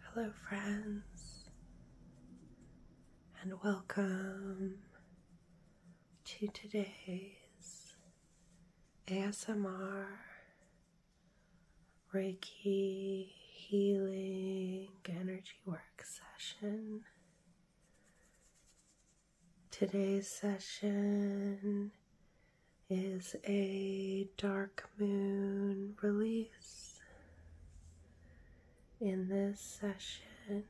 Hello, friends, and welcome to today's ASMR Reiki Healing Energy Work session. Today's session is a dark moon release. In this session,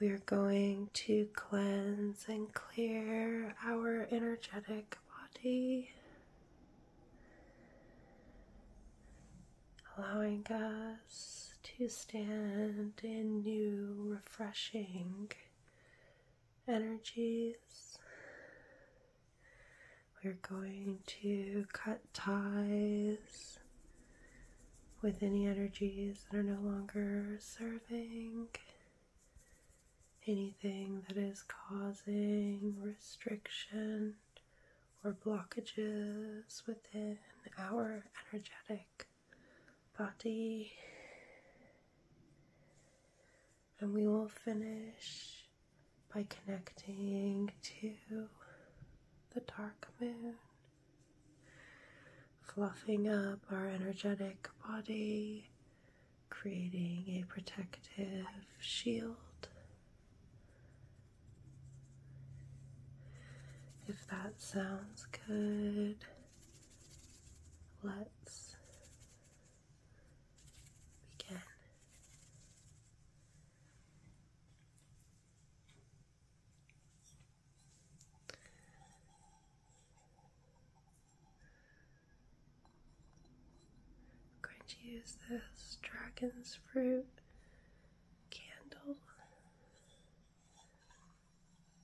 we are going to cleanse and clear our energetic body, allowing us to stand in new, refreshing energies. We're going to cut ties with any energies that are no longer serving, anything that is causing restriction or blockages within our energetic body and we will finish by connecting to the dark moon, fluffing up our energetic body, creating a protective shield. If that sounds good, let's we can going to use this dragon's fruit candle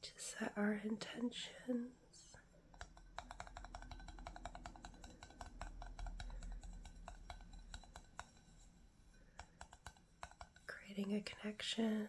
to set our intentions creating a connection.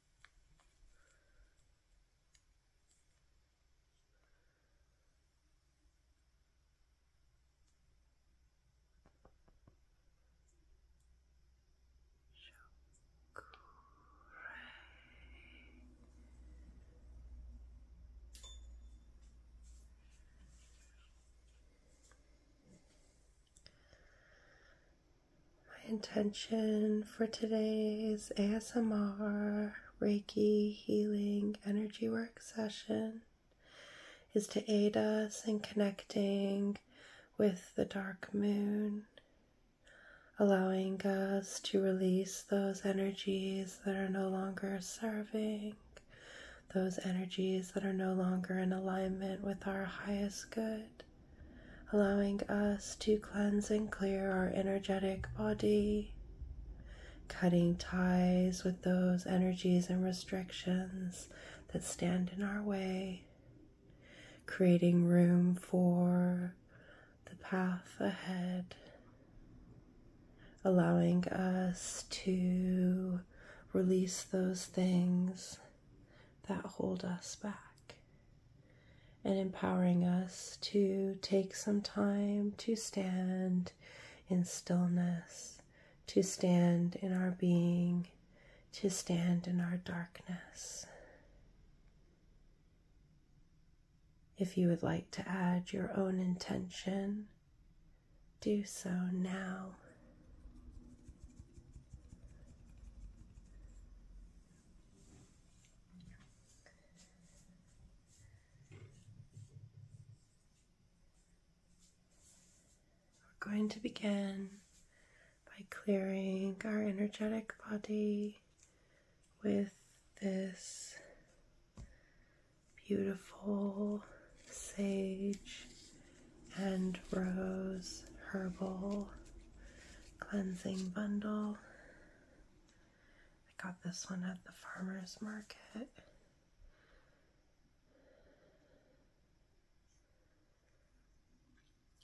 Shakure. My intention for today's ASMR, Reiki, healing, energy work session is to aid us in connecting with the dark moon, allowing us to release those energies that are no longer serving, those energies that are no longer in alignment with our highest good allowing us to cleanse and clear our energetic body, cutting ties with those energies and restrictions that stand in our way, creating room for the path ahead. Allowing us to release those things that hold us back and empowering us to take some time to stand in stillness, to stand in our being, to stand in our darkness. If you would like to add your own intention, do so now. We're going to begin by clearing our energetic body with this beautiful sage and rose herbal cleansing bundle. I got this one at the farmer's market.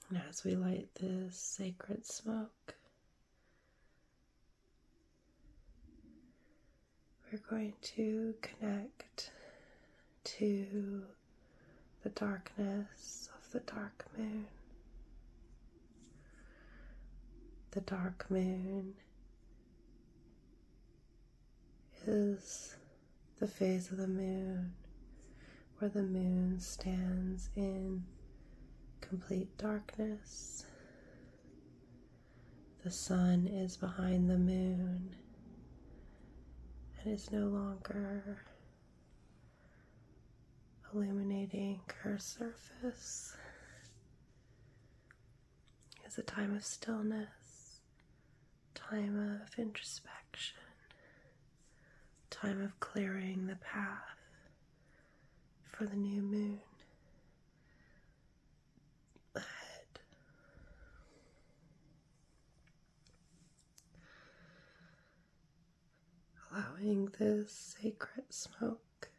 And as we light this sacred smoke, we're going to connect to the darkness of the dark moon. The dark moon is the phase of the moon where the moon stands in complete darkness. The sun is behind the moon and is no longer illuminating her surface It is a time of stillness, time of introspection, time of clearing the path for the new moon ahead allowing this sacred smoke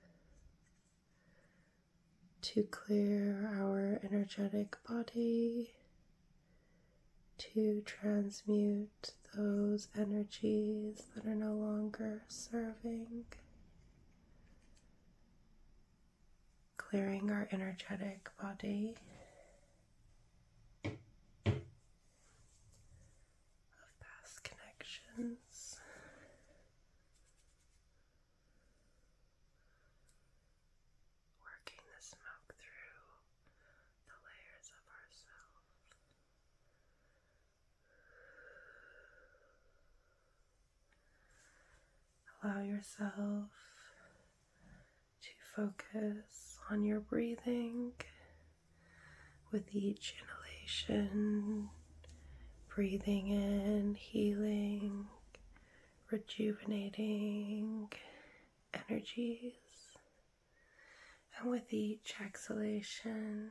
to clear our energetic body, to transmute those energies that are no longer serving, clearing our energetic body of past connections. Working the smoke through the layers of ourselves. Allow yourself to focus on your breathing with each inhalation, breathing in, healing, rejuvenating energies. And with each exhalation,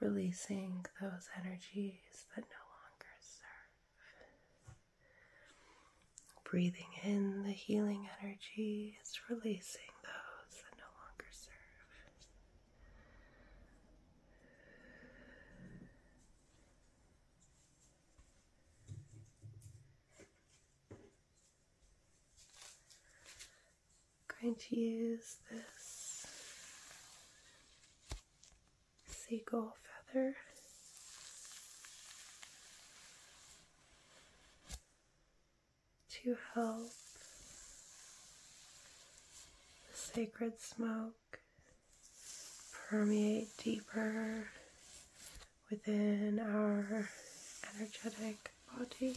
releasing those energies that no longer serve. Breathing in the healing energy is releasing those that no longer serve. I'm going to use this seagull feather. To help the sacred smoke permeate deeper within our energetic body.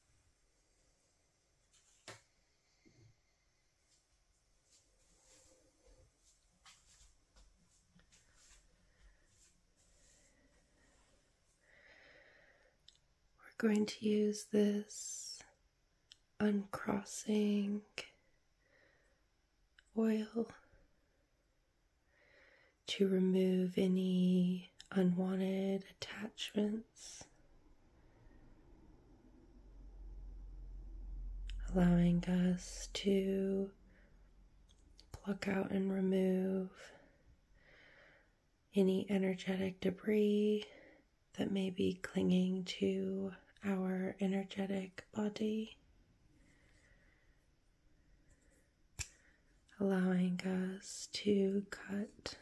We're going to use this uncrossing oil to remove any unwanted attachments, allowing us to pluck out and remove any energetic debris that may be clinging to our energetic body allowing us to cut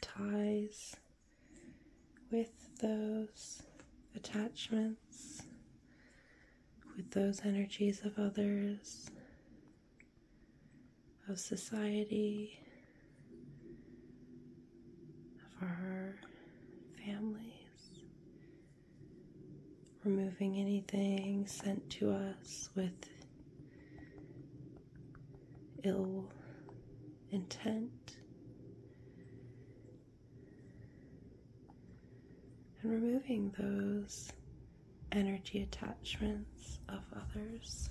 ties with those attachments, with those energies of others, of society, of our families, removing anything sent to us with ill intent. And removing those energy attachments of others.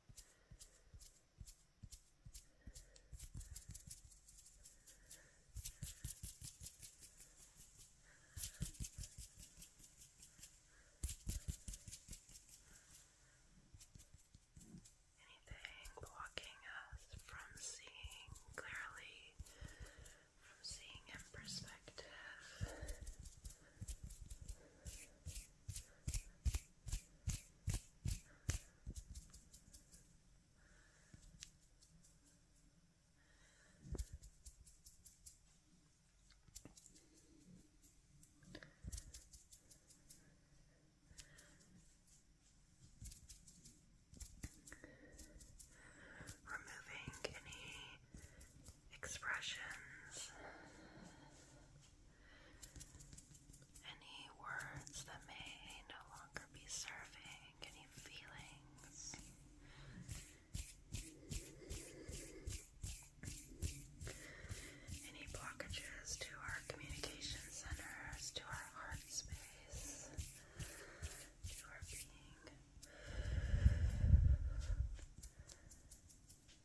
Anything blocking us from seeing clearly, from seeing in perspective. Removing any expressions any words that may no longer be serving, any feelings. Any blockages to our communication centers, to our heart space, to our being.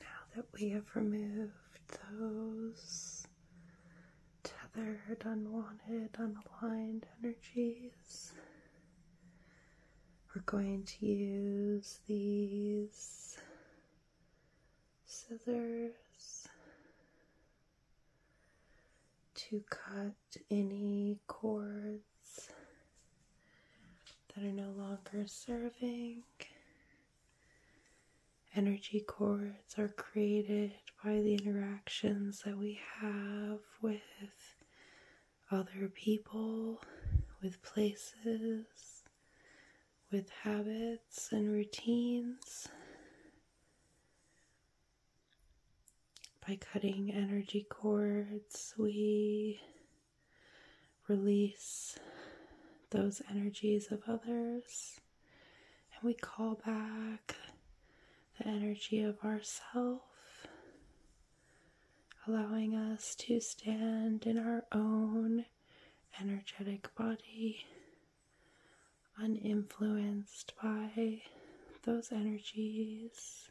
Now that we have removed those tethered, unwanted, unaligned energies, we're going to use these scissors to cut any cords that are no longer serving. Energy cords are created by the interactions that we have with other people, with places, with habits and routines. By cutting energy cords, we release those energies of others and we call back the energy of ourself, allowing us to stand in our own energetic body, uninfluenced by those energies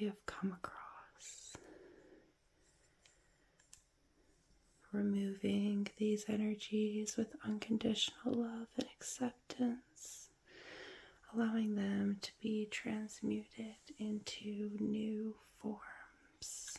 we have come across. Removing these energies with unconditional love and acceptance allowing them to be transmuted into new forms.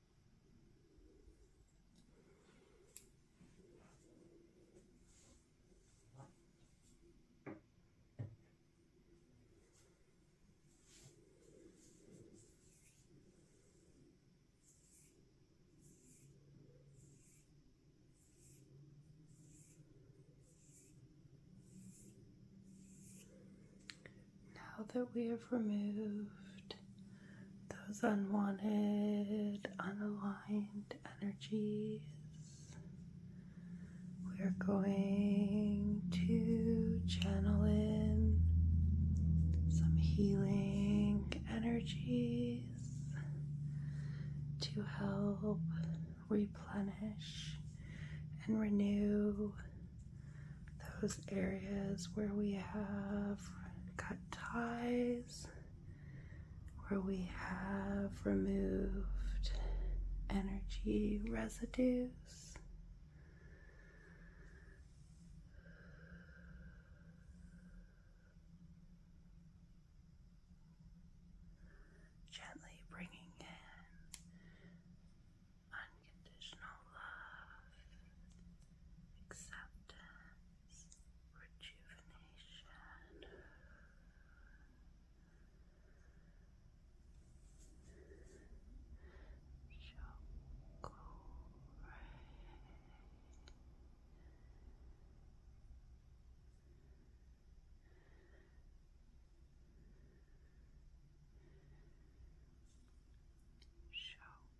Now that we have removed those unwanted, unaligned energies. We are going to channel in some healing energies to help replenish and renew those areas where we have cut ties where we have removed energy residues. Gently bringing in unconditional love, acceptance, rejuvenation. Chocolate. Chocolate.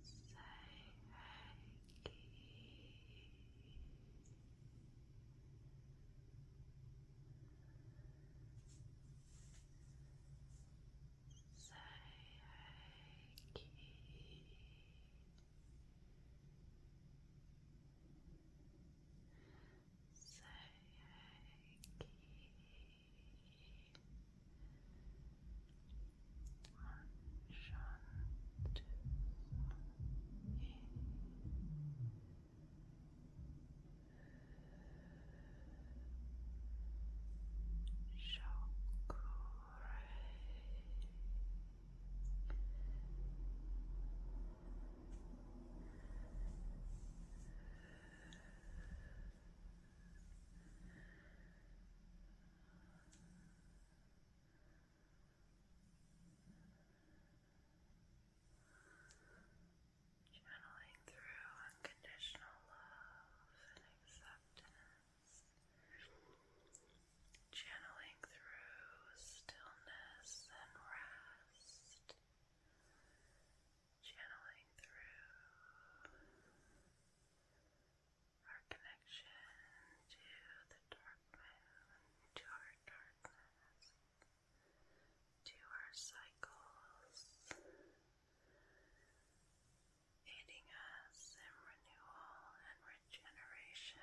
Say hanky. Say hanky. Say hanky. Shakure. Channeling through unconditional love and acceptance. Channeling through stillness and rest. Channeling through our connection to the dark to our darkness, to our cycles, aiding us in renewal and regeneration.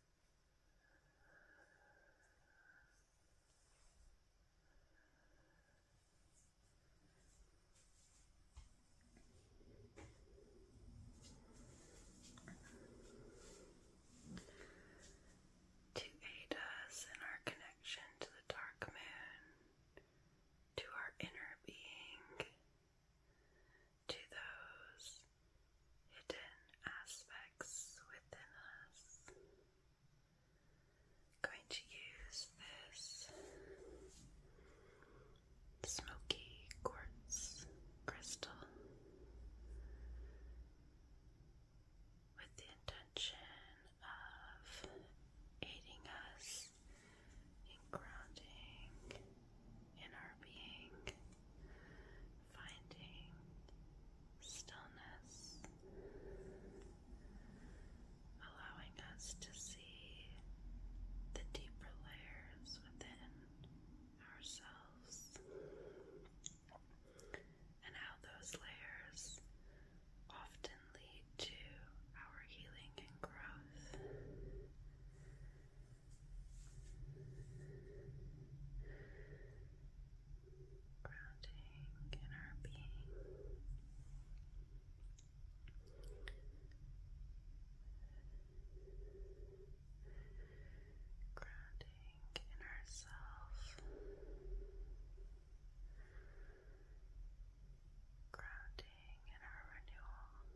To aid us in our connection to the dark moon, to our inner being, to those hidden aspects within us. Going to use this smoky quartz crystal with the intention of aiding us in grounding in our being finding stillness, allowing us to see the deeper layers within ourselves and how those layers often lead to our healing and growth grounding in our being. Grounding in ourself, grounding in our renewal,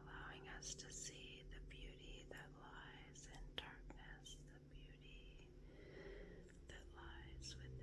allowing us to see the beauty that lies in darkness, the beauty that lies within.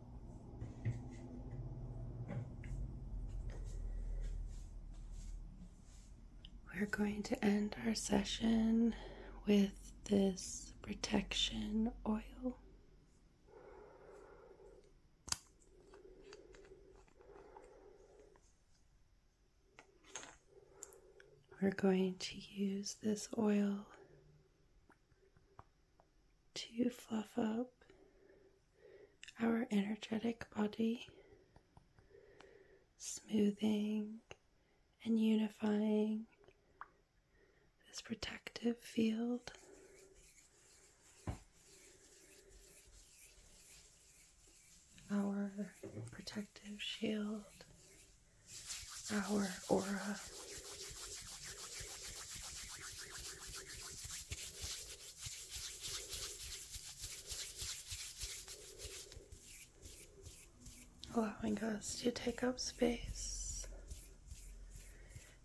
We're going to end our session with this protection oil. We're going to use this oil to fluff up our energetic body, smoothing and unifying this protective field. Our protective shield, our aura allowing us to take up space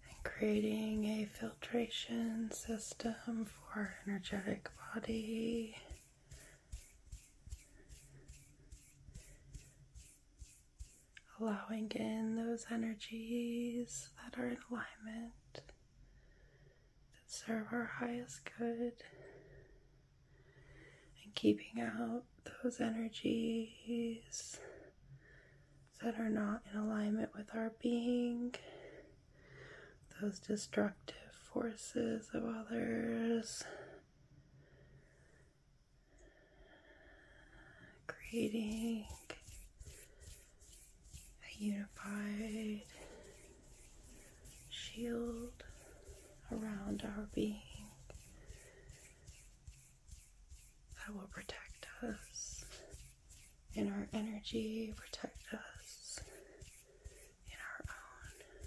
and creating a filtration system for our energetic body. Allowing in those energies that are in alignment that serve our highest good and keeping out those energies that are not in alignment with our being, those destructive forces of others, creating a unified shield around our being that will protect us in our energy, protect us in our own.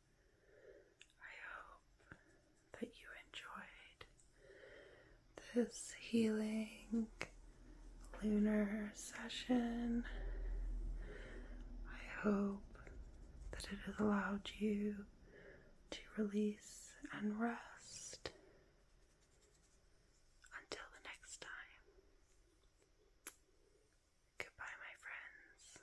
I hope that you enjoyed this healing lunar session. I hope that it has allowed you to release and rest. Until the next time. Goodbye, my friends.